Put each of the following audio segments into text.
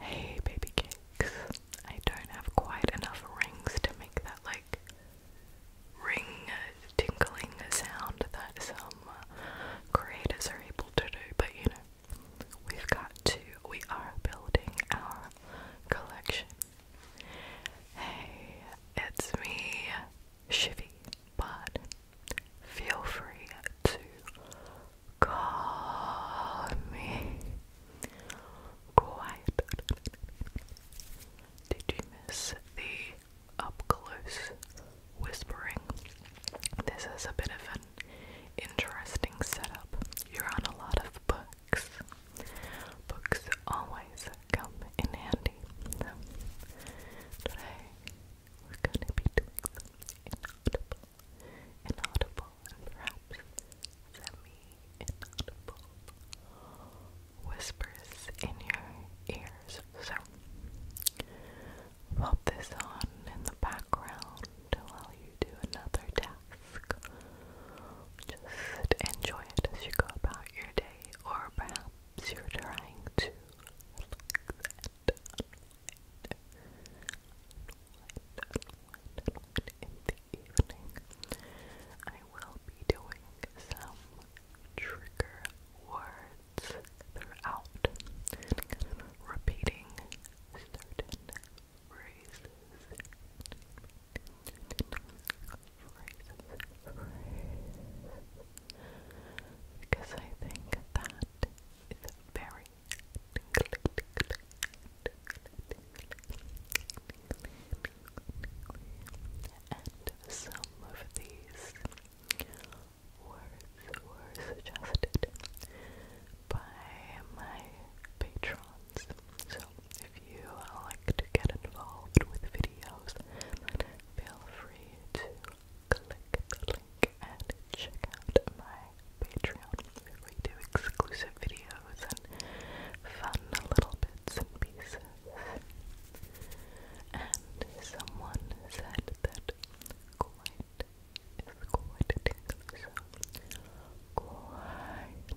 Hey, baby cakes. I don't have quite enough rings to make that like ring uh, tinkling sound that some uh, creators are able to do, but you know, we've got to, we are building our collection. Hey, it's me, Shivy, but feel free to call me. Quiet. Did you miss the up close whispering? This is a bit of an interesting setup. You're on a lot of books. Books always come in handy. So today we're gonna be doing some inaudible, inaudible, and perhaps semi-inaudible whispers in your ears. So, pop this on in the background while you do another task. Just enjoy it as you go about your day, or perhaps you're trying to in the evening, I will be doing some trigger words throughout, repeating certain phrases because I think that is very and some of these words were suggested by my patrons. So if you like to get involved with videos, feel free to click the link and check out my Patreon we do exclusive videos and fun little bits and pieces. And someone said that quite is quite so quite, quite, quite,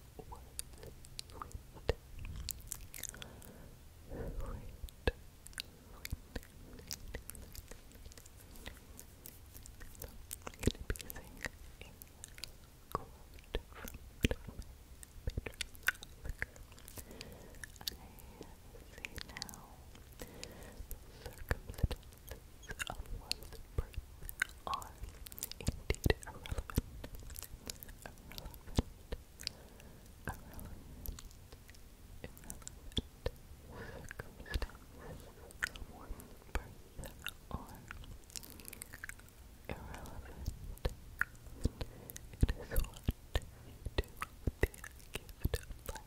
was sweet, sweet, sweet, sweet. So, I'm going to be using a quote from Tom Peter Locker. I see now the circumstance of one's birth are indeed irrelevant, irrelevant, irrelevant, irrelevant circumstances of one's birth are irrelevant. It is what you do with the gift of life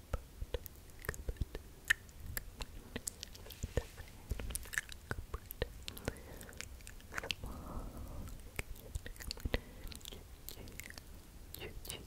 Kitchen cupboard in German.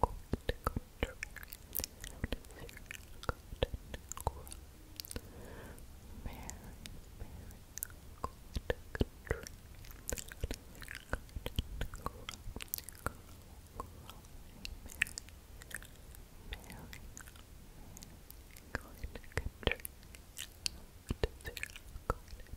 court contrary out of your cotton crop. Mary, Mary, court contrary out of your cotton crop. Girl, girl, Mary, Mary, Mary, court contrary out of your cotton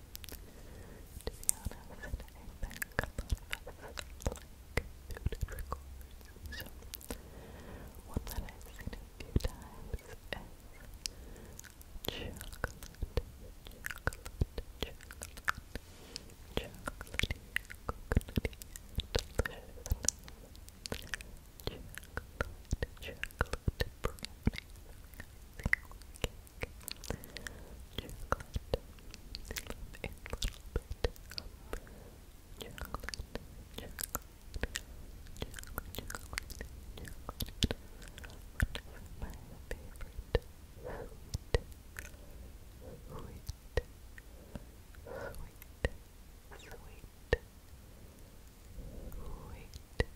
To be honest, I think a lot of us like muted records. So, one that I've seen a few times is chocolate, chocolate, chocolate. Chocolatey, coconutty, delicious. Chocolate, chocolate brownie. I think we can sweet, sweet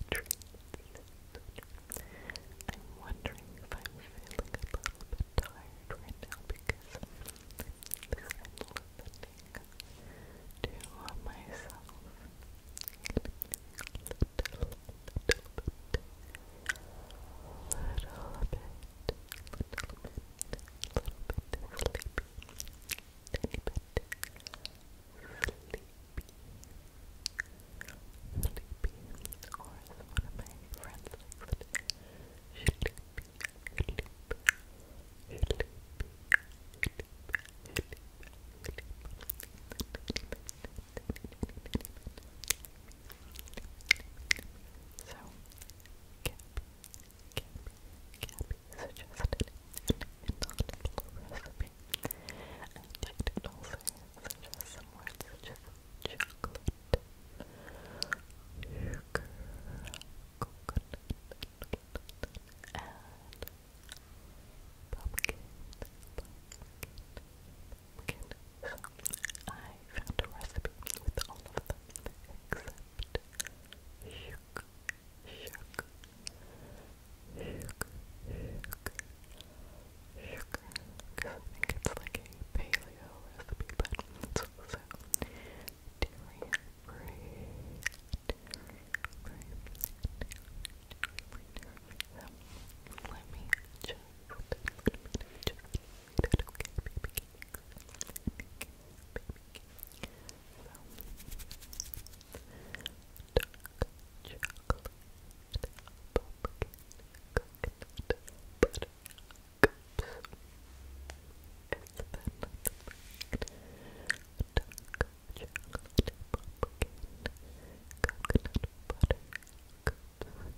treats, sweet I'm wondering if I'm feeling a little bit tired right now because I'm limiting to uh, myself a little, little, little bit, little bit, little bit, little bit sleepy, tiny bit sleepy. Sleepy. Or as one of my friends likes it, sleepy, sleepy, sleepy, sleepy, sleepy, sleepy. So, Gabby, Gabby, Gabby suggested an inaudible recipe, and she did also such as some words such as chocolate, sugar, coconut, and pumpkin, I found a recipe with all of them except sugar, sugar, sugar. Sugar, sugar, because I think it's like a paleo recipe, but it's also dairy free, So, let me just, let me just read it, okay, baby cakes, baby So, chocolate, pumpkin, coconut, butter, cups, chocolate, pumpkin, coconut, butter, cups, chocolate, pumpkin, coconut, coconut, coconut,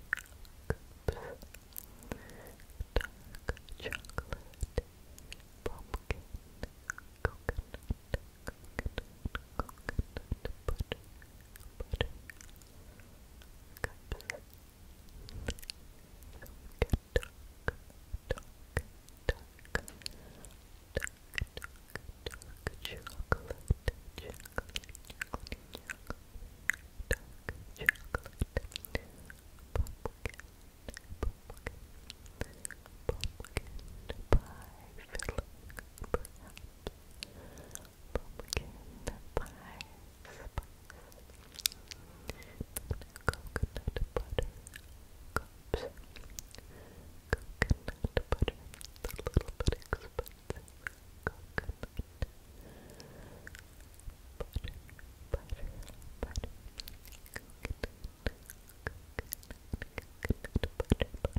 butter, butter cups. So we can talk, talk, talk, talk, talk, talk, chocolate, chocolate, chocolate, chocolate, dark chocolate, pumpkin, pumpkin, pumpkin pie filling, perhaps. Pumpkin pie filling, pumpkin pie spice, coconut butter cups, coconut butter, it's a little bit expensive, coconut butter, butter, butter, coconut, coconut, coconut butter, butter,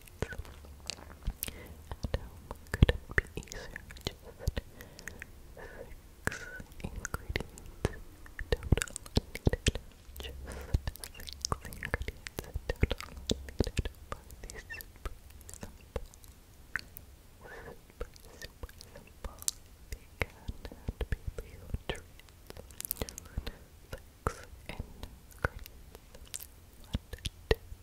At home, could it be easier? Just six ingredients total needed. Just six ingredients total needed for the super simple, super, super simple vegan and paleo treats. Six ingredients.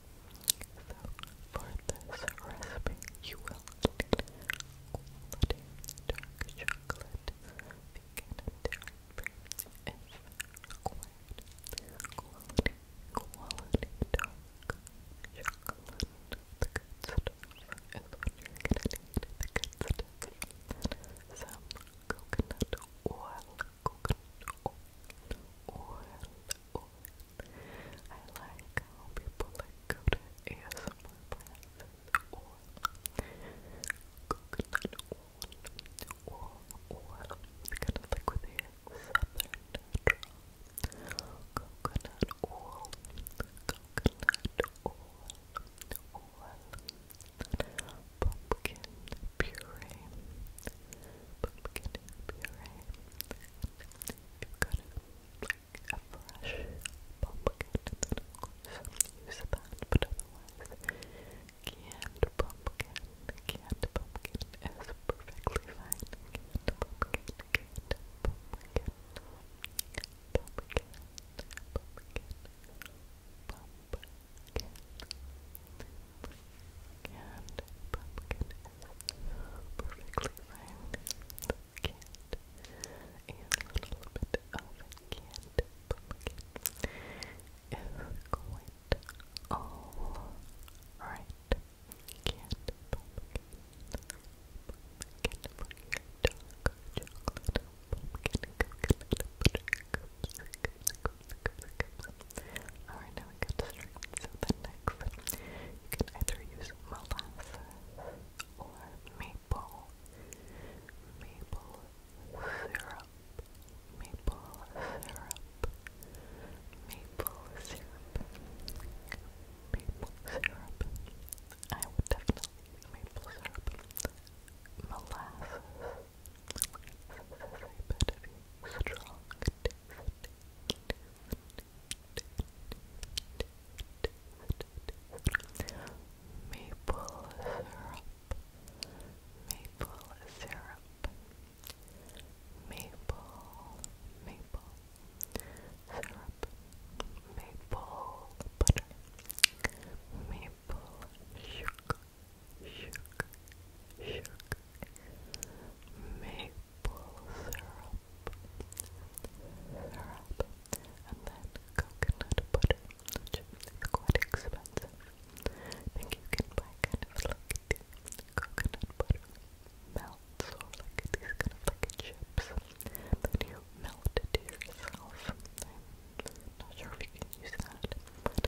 So, for this recipe, you will need quality dark chocolate, vegan and dairy-free if required. Quality, quality dark chocolate. The good stuff is what you're gonna need. The Some coconut oil coconut oil, I like how people like go to ASMR brands or coconut oil, or oil, because it's like with a southern draw. Coconut oil, coconut oil, oil, pumpkin puree but can help you, right? You've got a, like, a fresh pumpkin, then of use that, but otherwise canned pumpkin, canned pumpkin is perfectly fine. Canned pumpkin, canned pumpkin, pumpkin, pumpkin, pumpkin. Pumpkin, pumpkin, pumpkin, pumpkin, pumpkin, pumpkin, pumpkin, pumpkin, pumpkin, pumpkin, pumpkin, and pumpkin is perfectly round. and a little bit of canned pumpkin is quite all right. Canned pumpkin, pumpkin for your dog, chocolate, pumpkin, coconut butter, cookies, cookies, Alright, now we got distracted. So next, you can either use molasses or maple, maple syrup, maple syrup, maple syrup, maple syrup. I would definitely maple syrup, molasses. This is a bit of a strong maple syrup, maple syrup, maple, maple syrup, maple butter, maple sugar sugar, sugar, maple syrup, syrup, and then coconut butter, which quite expensive. I think you can buy kind of like the coconut butter melts or like these kind of like chips that you melt it yourself. not sure if you can use that, but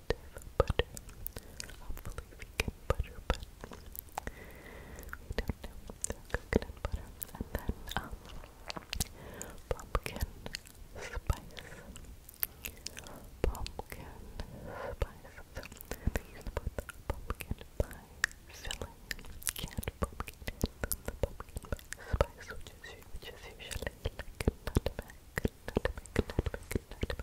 of butter. Hopefully vegan butter, but we don't know. So coconut butter. And then um pumpkin spice. Pumpkin spice. So they use both pumpkin pie filling, canned pumpkin and then the pumpkin pie spice, which is which is usually like nutmeg nutmeg, cinnamon, things like that.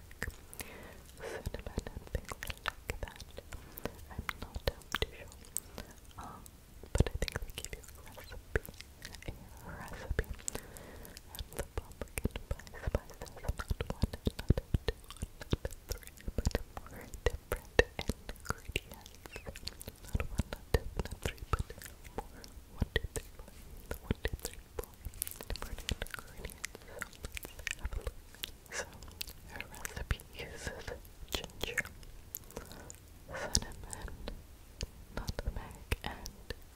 I'm not too sure, but I think they give you a recipe, a recipe, and the pumpkin pie spices, not one, not two, more different ingredients, not one, not two, not three, but more, so, her recipe uses ginger, cinnamon, nutmeg, and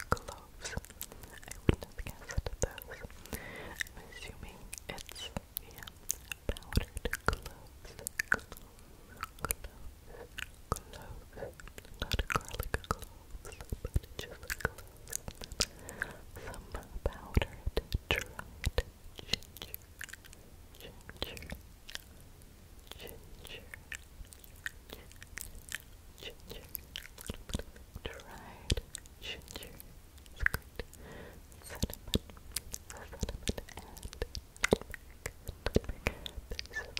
cloves. I would have guessed those. I'm assuming it's, yeah, powdered cloves. Cloves, cloves, cloves. Not garlic cloves, but just cloves some powdered dried ginger, ginger, ginger, ginger, dried ginger, squid, cinnamon, cinnamon, and nutmeg. This is like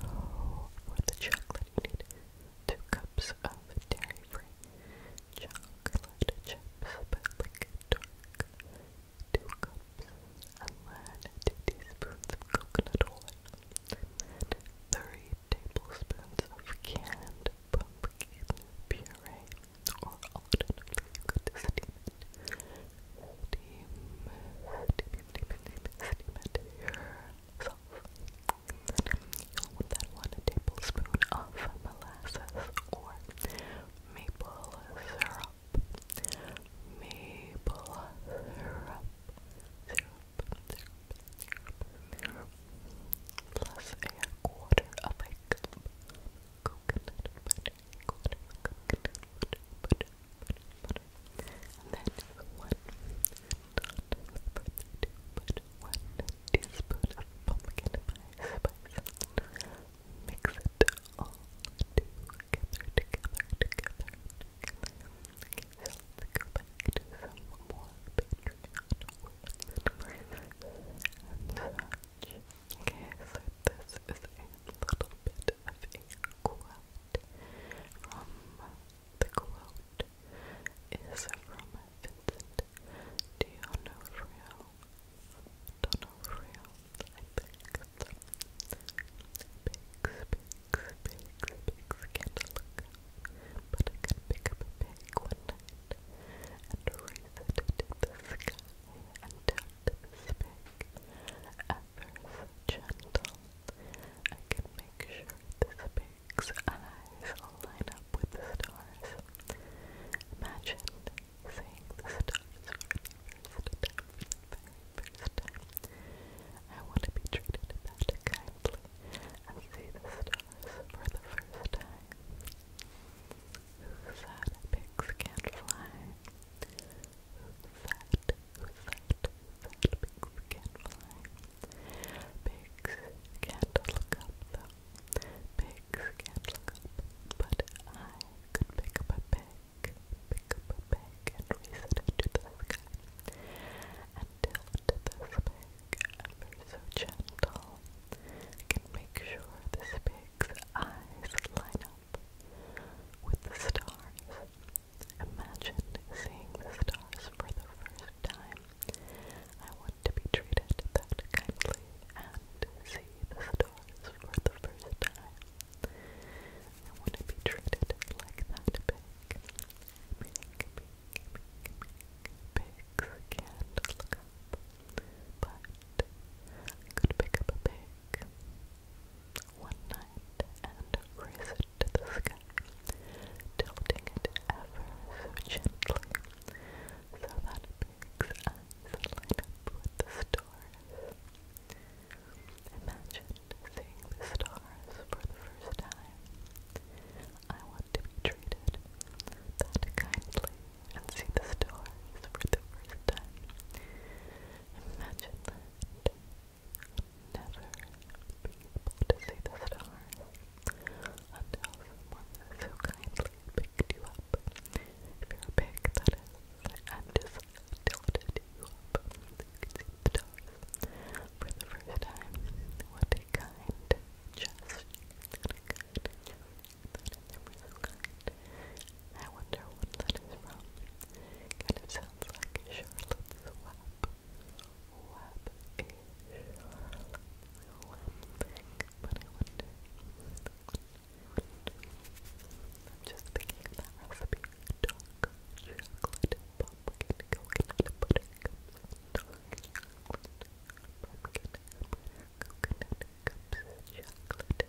For the chocolate, you need two cups of dairy-free chocolate chips, but like two cups, and then two teaspoons of coconut oil, and three tablespoons of canned pumpkin puree, or alternatively you could steam, yourself. you one tablespoon of molasses or maple syrup. Maple syrup, Plus a quarter of a cup and then one, teaspoon of pumpkin spice. Mix it all together, together, together. Okay, so let's go back to some more Patreon words and such. Okay, so this is a little bit of a quote from the quote is from Vincent D'Onofrio. D'Onofrio, I picked some pigs, pigs, pigs, pigs, can't look up, but I could pick up a pig one night and raise it to the sky and tilt this pig at ever so gentle. I can make sure this pig's eyes line up with the stars. Imagine seeing the stars for the first time, I want to be treated that kindly and see the stars for the first time. Sad pigs can't fly fat, fat pigs can fly. Pigs can't look up though. Pigs can't look up. But I could pick up a pig, pick up a pig and raise it into the sky. And tilt this pig ever so gentle. can make sure this pig's eyes line up with the stars. Imagine seeing the stars for the first time. I want to be treated that kindly and see the stars for the first time. I want to be treated like that pig. Pig, pig, pig, pig. Pigs can't look up. But could pick up a pig one night and raise it to the sky, tilting it ever so gently so that Big's eyes line up with the stars. Imagine seeing the stars for the first time. I want to be treated that kindly and see the stars for the first time. Imagine Never be able to see the stars until someone so kindly picked you up. If you and just tilted you up so see the stars for the first time. What a kind gesture! What a kind. I wonder what that is from. Kind of sounds like Charlotte's Web. Web is Web but I wonder. I am just thinking of that recipe. chocolate pumpkin coconut butter cups. Dark chocolate pumpkin coconut cups. Chocolate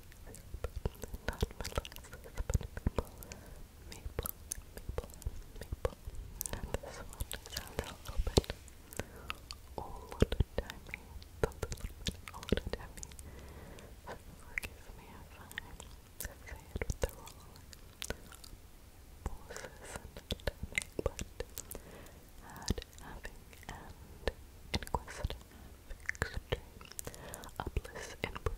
not molasses, but maple, maple, maple, And this one sounds a little bit old timey, old timey. forgive me if I say it with the wrong voices and timing, but add, having, and inquisitive fixture. Upliss and proof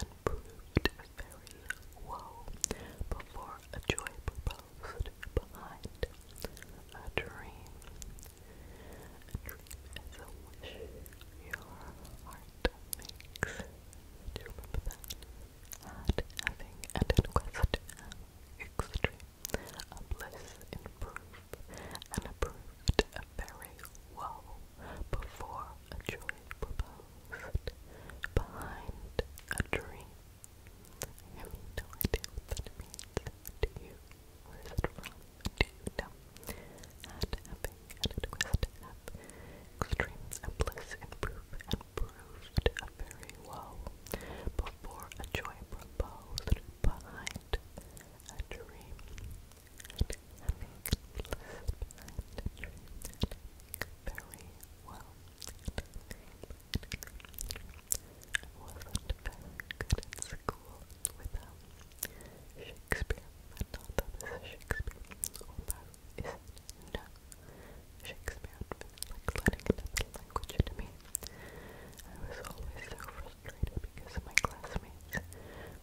and proved very woe before a joy proposed behind a dream. dream is a wish your heart makes. Do you remember that? Had, having, and in quest extreme, a bliss in and approved very well before a choice proposed behind a dream. have no idea what that means. Do you? Where is it from? Do you know? And having and extremes and bliss improve and proved very well before a joy proposed behind a dream wasn't very at school without Shakespeare. I thought that was Shakespeare. Although, is it? Shakespeare feels like language to me. I was always so frustrated because my classmates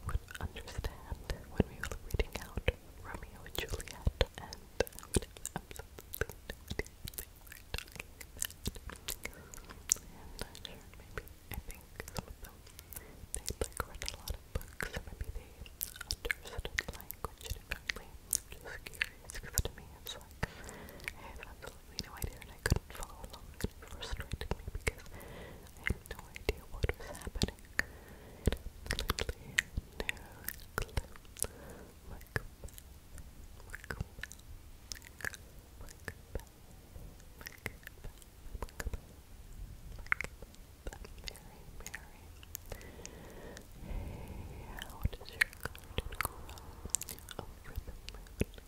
would understand when we were reading out Romeo and Juliet, and maybe, I think some of them, they like read a lot of books, maybe they understood language differently. just curious, because to me it's like, I have absolutely no idea and I couldn't follow along and it frustrated because I had no idea what was happening. Literally no clue. Look back, look back, look back, look back, look back, look back. Mary, Mary. Hey, how does your garden grow over the moon?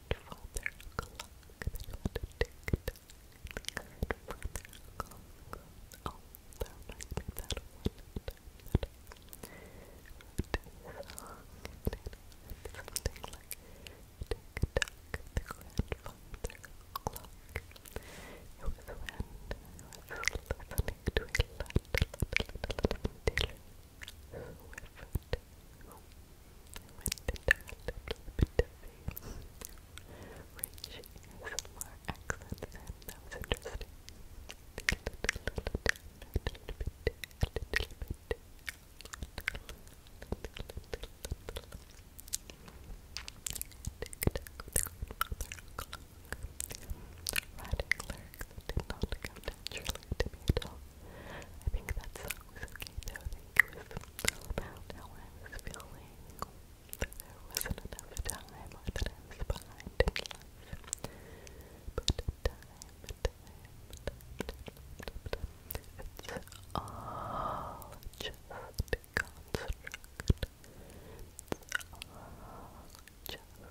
Grandfather clock Grandfather clock. Oh, that reminds me of that one time something like grandfather clock. It was when I was listening to a lot, lot, lot, food. I went into a little bit of a rich ASMR accent and that was interesting. Writing lyrics that did not come naturally to me at all. I think that song was okay though. I think it was how I was feeling, there wasn't enough time, or time, time, time, time, time. It's all just a construct. It's all just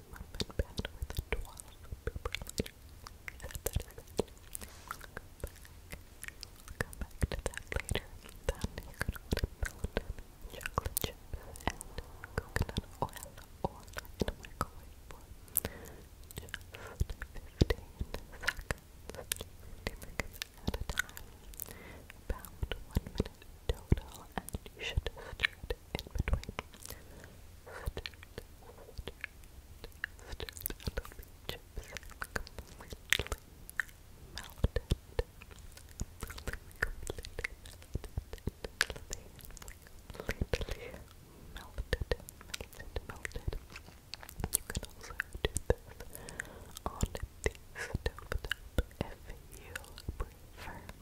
mom and pad with 12 That is it. We'll come back to that later. Then you're gonna want to melt chocolate chips and coconut oil all in a microwave for just 15 seconds. at a time. About one minute total and you should stir in between. Stirred, stirred, stirred until the chips melted. melted. melted, melted, melted. You can also do this on the stove if you prefer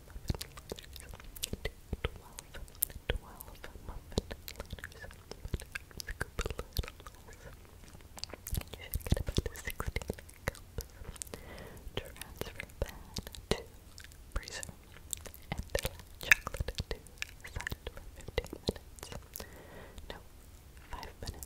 muffin You should get about sixteen cups. Transfer pan to freezer and chocolate to side for fifteen minutes. No, five minutes.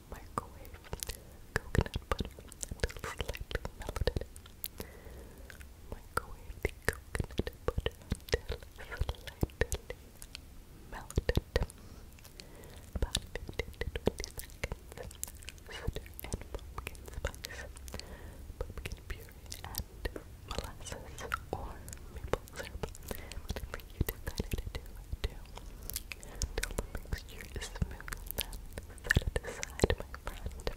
microwave coconut butter until slightly melted. Microwave the coconut butter until slightly melted. pumpkin spice, pumpkin puree, and molasses or maple syrup. you until the mixture is smooth, then set it aside, my friend.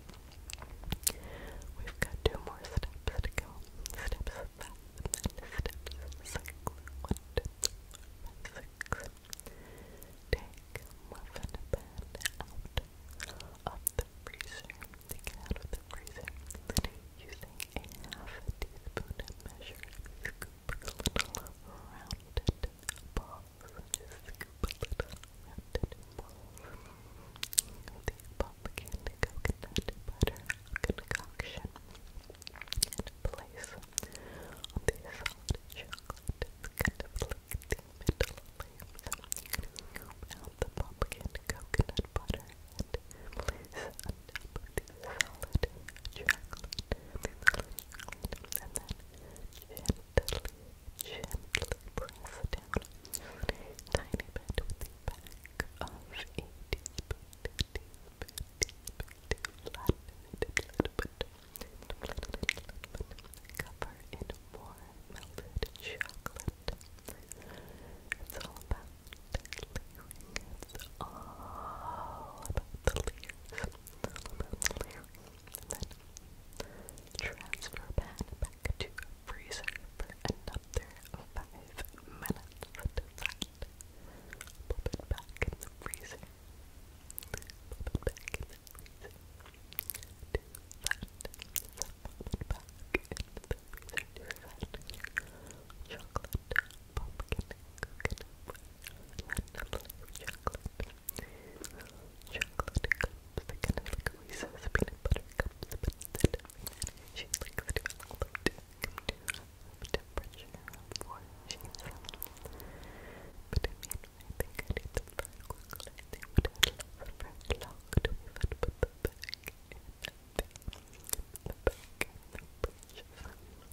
We've got two more steps to go. Steps of that, and then steps cycle. One, two, three, five, six. Take muffin pan out of the freezer. Take it out of the freezer. Using a half a teaspoon measure, little rounded balls. Just scoop a little rounded balls. The pumpkin coconut butter concoction and place on the solid chocolate. It's kind of like the middle layer. Scoop out the coconut butter and place on the solid chocolate and then gently, gently press down a tiny bit with the back of a teaspoon, teaspoon, teaspoon, flatten it a little bit, a little bit, cover in more melted chocolate. It's all about it's all about the lyrics. then transfer pan back to freezer for another five minutes. Pop it back in the freezer. Pop it back in the freezer. Do it back into the freezer. Chocolate, pumpkin, chocolate. Chocolate cups, the kind of like Reese's peanut butter cups, but instead of she likes to float to temperature for she But I mean, I think I need them very quickly. They would have lasted very long to even put them back in the, the back in the fridge.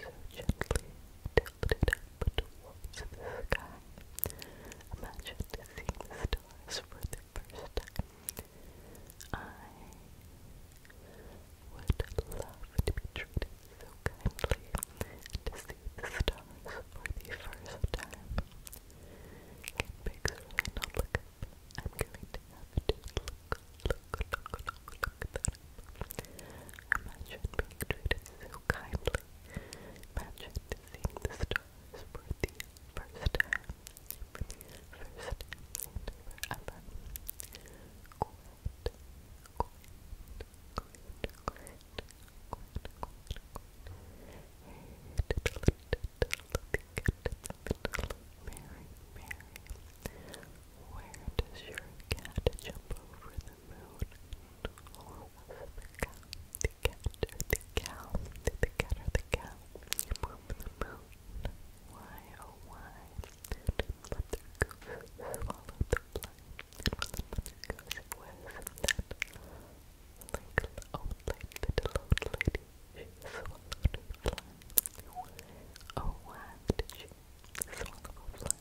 so gently tilted up towards the sky. Imagine seeing the stars for the first time. I would love to be treated so kindly and to see the stars for the first time. Can pigs really not look I'm going to have to look, Good luck, Imagine being treated so kindly. Imagine seeing the stars for first first and forever. Mary, Mary. Where does your cat jump over the moon? Or was it the cow? The cat or the cow? Did the cat or the cow jump over the moon? Why, oh why? Did Mother Goose swallow the blind? And was it Mother Goose it was that like oh, like little old lady? She swallowed her blind. Oh why did she swallowable phlegm,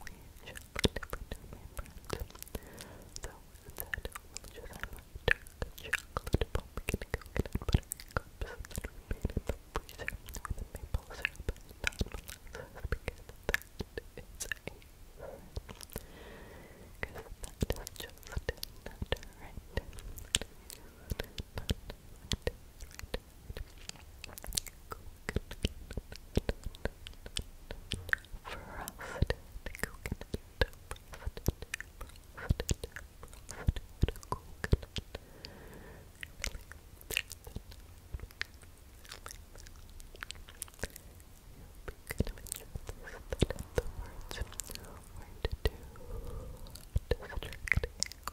which should remember So with we just have a dark chocolate pumpkin coconut buttercups that remain in the freezer with a maple syrup and not molasses because that is a because that is just not right. Not right, right, right frosted coconut, frosted, frosted, frosted coconut. You'll be good this, that the words weren't too distracting.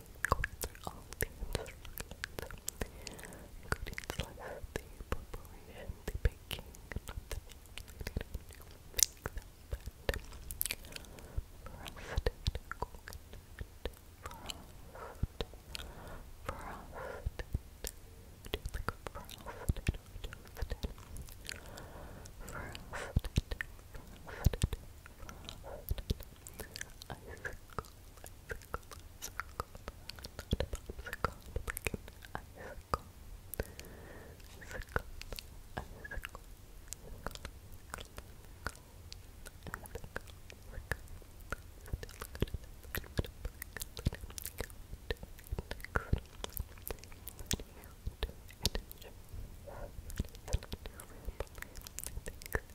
records are all the instructions, including slice the preparation, the baking, not the making, make the bread, frosted coconut, frost, frosted, do you like frosted or toasted? Frosted, frosted, frosted, ice cold, ice circle, circle, not a popsicle, like an icicle. Icicle, icicle, icicle, icicle, icicle, icicle. Thanks.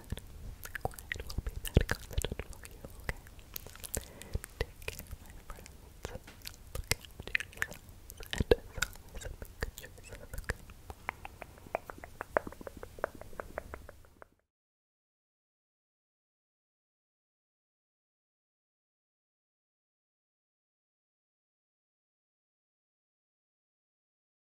Quiet. will be that constant for you, okay? Take care, my friends. Look after yourself. And as always, make good choices, okay?